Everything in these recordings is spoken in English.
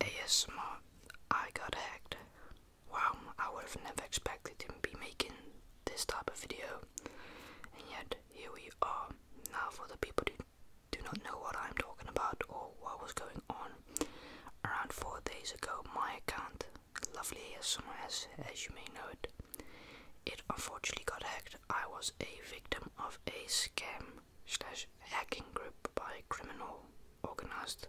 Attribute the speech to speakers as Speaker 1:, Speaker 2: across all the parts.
Speaker 1: ASMR, I got hacked. Wow, I would have never expected to be making this type of video. And yet, here we are. Now, for the people who do not know what I'm talking about or what was going on, around four days ago, my account, Lovely ASMR, as, as you may know it, it unfortunately got hacked. I was a victim of a scam slash hacking group by criminal organized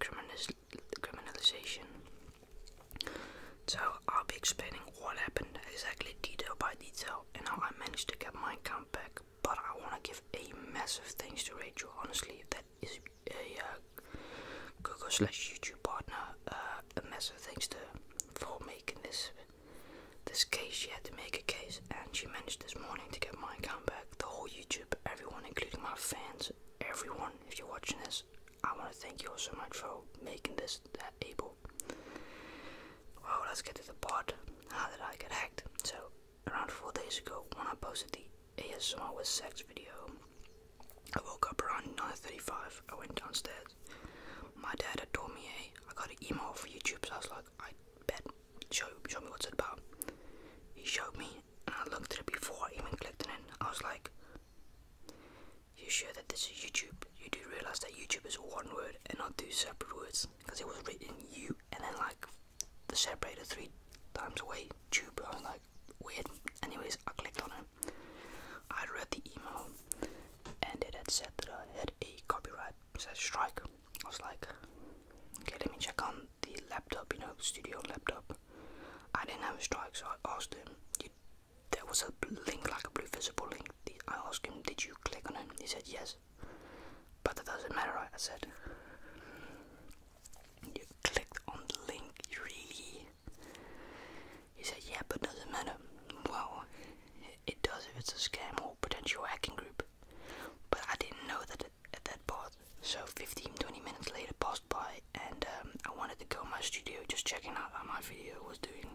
Speaker 1: criminalization. So I'll be explaining what happened exactly detail by detail and how I managed to get my account back. But I want to give a massive thanks to Rachel. Honestly, that is a uh, Google slash YouTube partner. Uh, a massive thanks to for making this this case, she had to make a case, and she managed this morning to get my account back. The whole YouTube, everyone, including my fans, everyone, if you're watching this, I want to thank you all so much for making this that able. Well, let's get to the part. How did I get hacked? So, around four days ago, when I posted the ASMR with sex video, I woke up around 9:35. I went downstairs. My dad had taught me a I got an email for YouTube, so I was like, I bet, show, show me what's it about. He showed me, and I looked at it before I even clicked on it I was like, you sure that this is YouTube? You do realize that YouTube is one word and not two separate words, because it was written you and then like the separator three times away tube. I was like, weird. Anyways, I clicked on it. I read the email and it had said that I had a copyright strike. I was like, okay, let me check on the laptop, you know, studio laptop. I didn't have a strike, so I asked him. There was a link, like a blue visible link. I asked him, did you click on it? He said yes. But that doesn't matter, I said. You clicked on the link, really? He said, yeah, but doesn't matter. Well, it does if it's a scam or potential hacking group. But I didn't know that at that part. So 15-20 minutes later passed by and um, I wanted to go to my studio just checking out how my video was doing.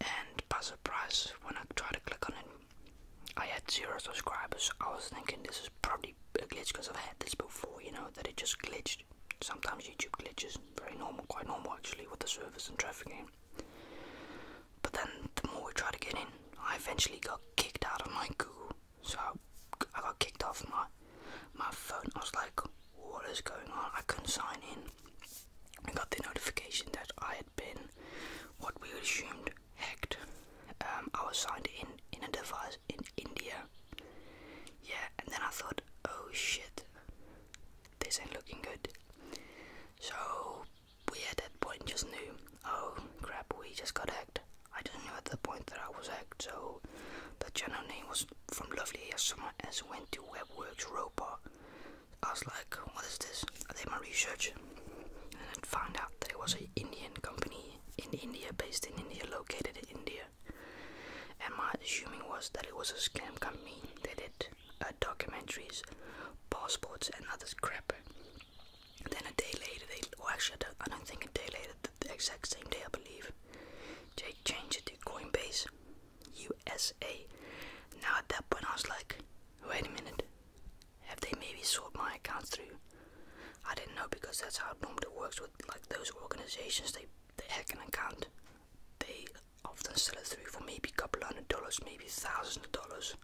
Speaker 1: And by surprise, when I tried to click on it, I had zero subscribers. I was thinking this is probably a glitch because I've had this before, you know, that it just glitched. Sometimes YouTube glitches, very normal, quite normal actually, with the servers and traffic in. But then the more we tried to get in, I eventually got kicked out of my Google. So I got kicked off my my phone. I was like, what is going on? I couldn't sign in. I got the notification that I had been what we assumed hacked. Um, I was signed in in a device in India. Yeah, and then I thought, oh shit, this ain't looking good. So we at that point just knew, oh crap, we just got hacked. I didn't know at the point that I was hacked, so the channel name was from Lovely ASMR as went to WebWorks Ropa. I was like, what is this? I did my research and I found out that it was an Indian company in India, based in India, located in India media. And my assuming was that it was a scam company. They did uh, documentaries, passports, and other crap. And then a day later, they well, actually, I don't, think a day later, the, exact same day, I believe, they changed it to Coinbase USA. Now, at that point, I was like, wait a minute, have they maybe sought my accounts through? I didn't know because that's how it normally works with like those organizations. They they hack an account, they often sell it through for maybe a couple hundred dollars, maybe thousands of dollars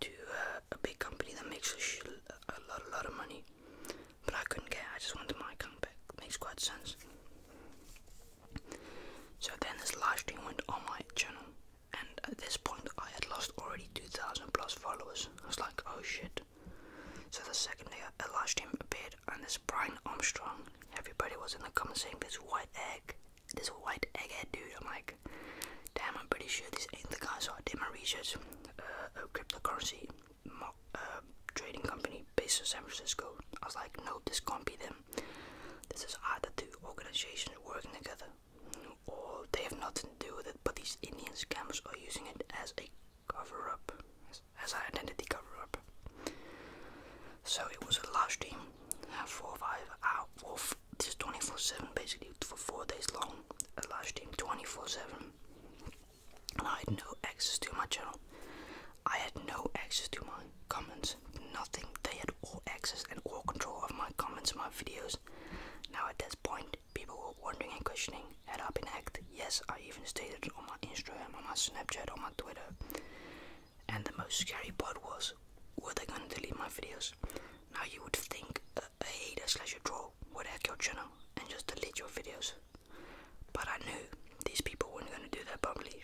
Speaker 1: to uh, a big company that makes a, lot, a lot of money. But I couldn't care, I just wanted my account back. Makes quite sense. So then this live stream went on my channel, and at this point I had lost already 2,000 plus followers. I was like, oh shit. So the second day, a large team appeared, and this Brian Armstrong. Everybody was in the comments saying this white egg, this white egghead dude. I'm like, damn, I'm pretty sure this ain't the guy. So I did my research. Uh, a cryptocurrency uh, trading company based in San Francisco. I was like, no, this can't be them. This is either two organizations working together, or they have nothing to do with it. But these Indian scammers are using it as a cover up, as, I an identity cover up. So it was a large team, uh, four five out, well, just 24 7 basically, for four days long. A large team 24 7. And I had no access to my channel, I had no access to my comments, nothing. They had all access and all control of my comments my videos. Now it does point, people were wondering and questioning had I been hacked. Yes, I even stated on my Instagram, on my Snapchat, on my Twitter. And the most scary part was, were they gonna delete my videos? Now you would think a, hater slash a troll would hack your channel and just delete your videos. But I knew these people weren't gonna do that probably.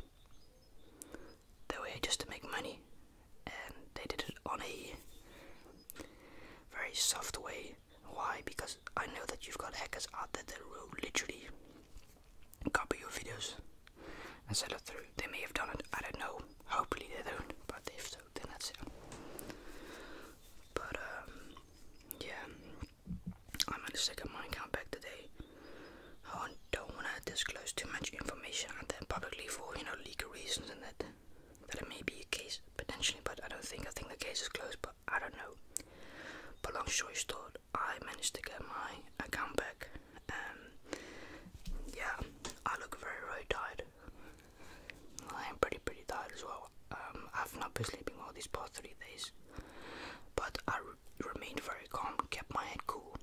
Speaker 1: They were just to make money, and they did it on a very soft way why? Because I know that you've got hackers out there that will literally copy your videos and send it through. They may have done it, I don't know. Hopefully they don't, but if so, then that's it. But, um, yeah. I'm gonna second up my account back today. I don't wanna disclose too much information out there publicly for, you know, legal reasons and that that it may be a case potentially, but I don't think. I think the case is closed, but I don't know. But long story short, I managed to get my account back, and yeah, I look very very tired. I am pretty pretty tired as well. Um, I've not been sleeping all these past three days, but I remained very calm, kept my head cool,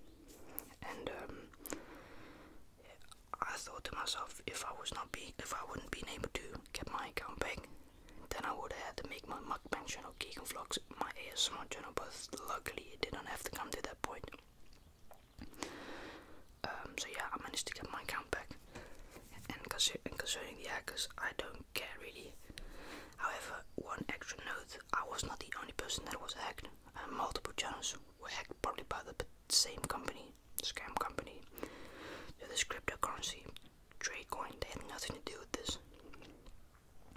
Speaker 1: and um, I thought to myself, if I was not being, if I wouldn't been able to get my account back, then I would have had to make my mug mukbang channel, Keegan Vlogs, my ASMR channel. But luckily, it didn't have to come to that point. Um, so yeah, I managed to get my account back. And, concerning the hackers, I don't care really. However, one extra note: I was not the only person that was hacked. Uh, multiple channels were hacked probably by the same company, scam company. So this cryptocurrency, Tradecoin, they had nothing to do with this.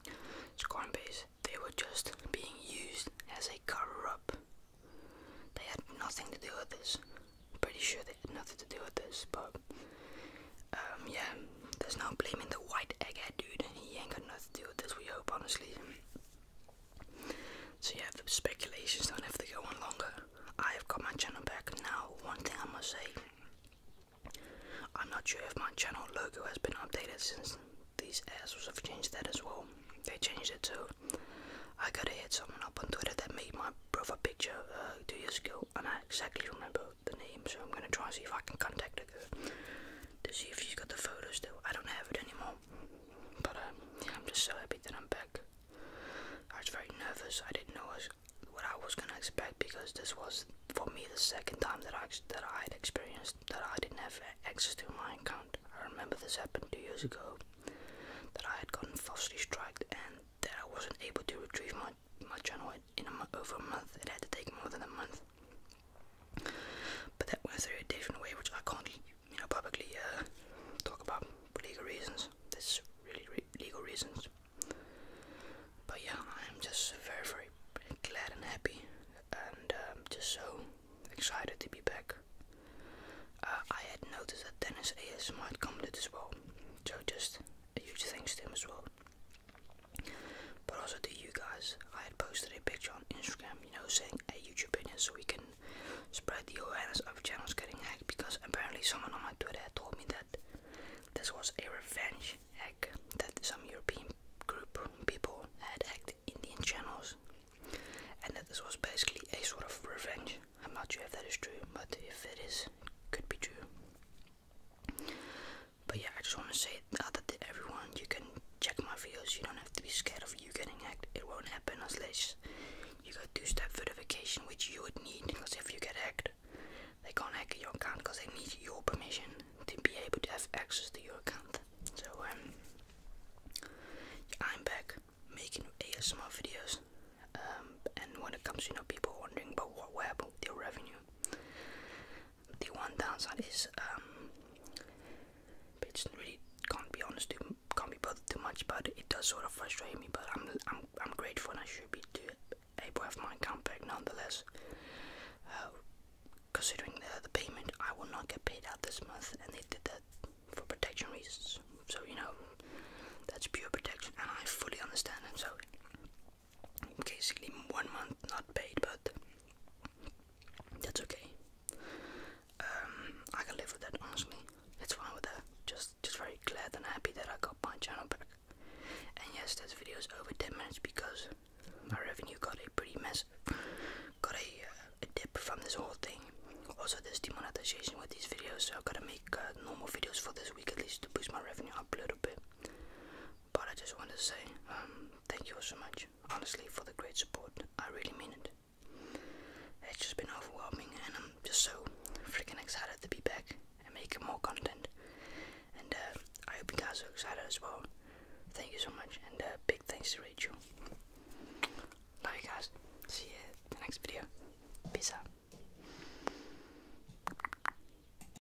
Speaker 1: It's Coinbase. They were just being used as a cover-up. They had nothing to do with this. pretty sure they had nothing to do with this, but um, yeah, there's no blaming the white egghead dude. He ain't got nothing to do with this. We hope, honestly. So yeah, the speculations don't have to go on longer. I have got my channel back now. One thing I must say, I'm not sure if my channel logo has been updated since these assholes have changed that as well. They changed it too. I gotta hit someone up on Twitter that made my brother picture uh, two years ago, and I exactly remember the name, so I'm gonna try and see if I can contact her to see if she's got the photos still. I don't have it anymore. But um, I'm just so happy that I'm back. I was very nervous. I didn't know what I was gonna expect because this was for me the second time that I that I had experienced that I didn't have access to my account. I remember this happened two years ago. That I had gotten falsely striked and that I wasn't able to retrieve my my channel in over a month. It had to take more than a month. But that went through a different way, which I can't, you know, publicly uh, talk about legal reasons. There's really legal reasons. But yeah, I'm just very, very glad and happy, and um, just so excited to be back. Uh, I had noticed that Dennis AS might commented as well, so just huge thanks to him as well but also to you guys. I had posted a picture on Instagram, you know, saying a YouTube opinion so we can spread the awareness of channels getting hacked because apparently someone on my Twitter told me that this was a revenge hack that some European group people had hacked Indian channels and that this was basically a sort of revenge. I'm not sure if that is true, but if it is, could be true. But yeah, I just want to say that everyone, you can check my videos. You don't have to be scared of you getting hacked. It won't happen unless you got two-step verification, which you would need. Because if you get hacked, they can't hack your account because they need your permission to be able to have access to your account. So um, I'm back making ASMR videos. Um, and when it comes, to know, people wondering about what, what happened with your revenue. The one downside is um, really can't be honest, too, can't be bothered too much, but it does sort of frustrate me. But I'm I'm I'm grateful and I should be able to have my account back nonetheless. Uh, considering the, the payment, I will not get paid out this month, and they did that for protection reasons. So you know, that's pure protection, and I fully understand. And so basically one month not paid, but that's okay. Um, I can live with that honestly. It's fine with that. Just, just very glad and happy that I got my channel back. And yes, this video is over 10 minutes because my revenue got a pretty mess, got a, uh, dip from this whole thing. Also, there's demonetization with these videos, so I gotta make uh, normal videos for this week at least to boost my revenue up a little bit. But I just wanted to say um, thank you all so much, honestly, for the great support. I really mean it. It's just been overwhelming, and I'm just so freaking excited to be back and make more content. And uh, I hope you guys are excited as well. Thank you so much, and uh, big thanks to Rachel. Love you guys. See you in the next video. Peace out.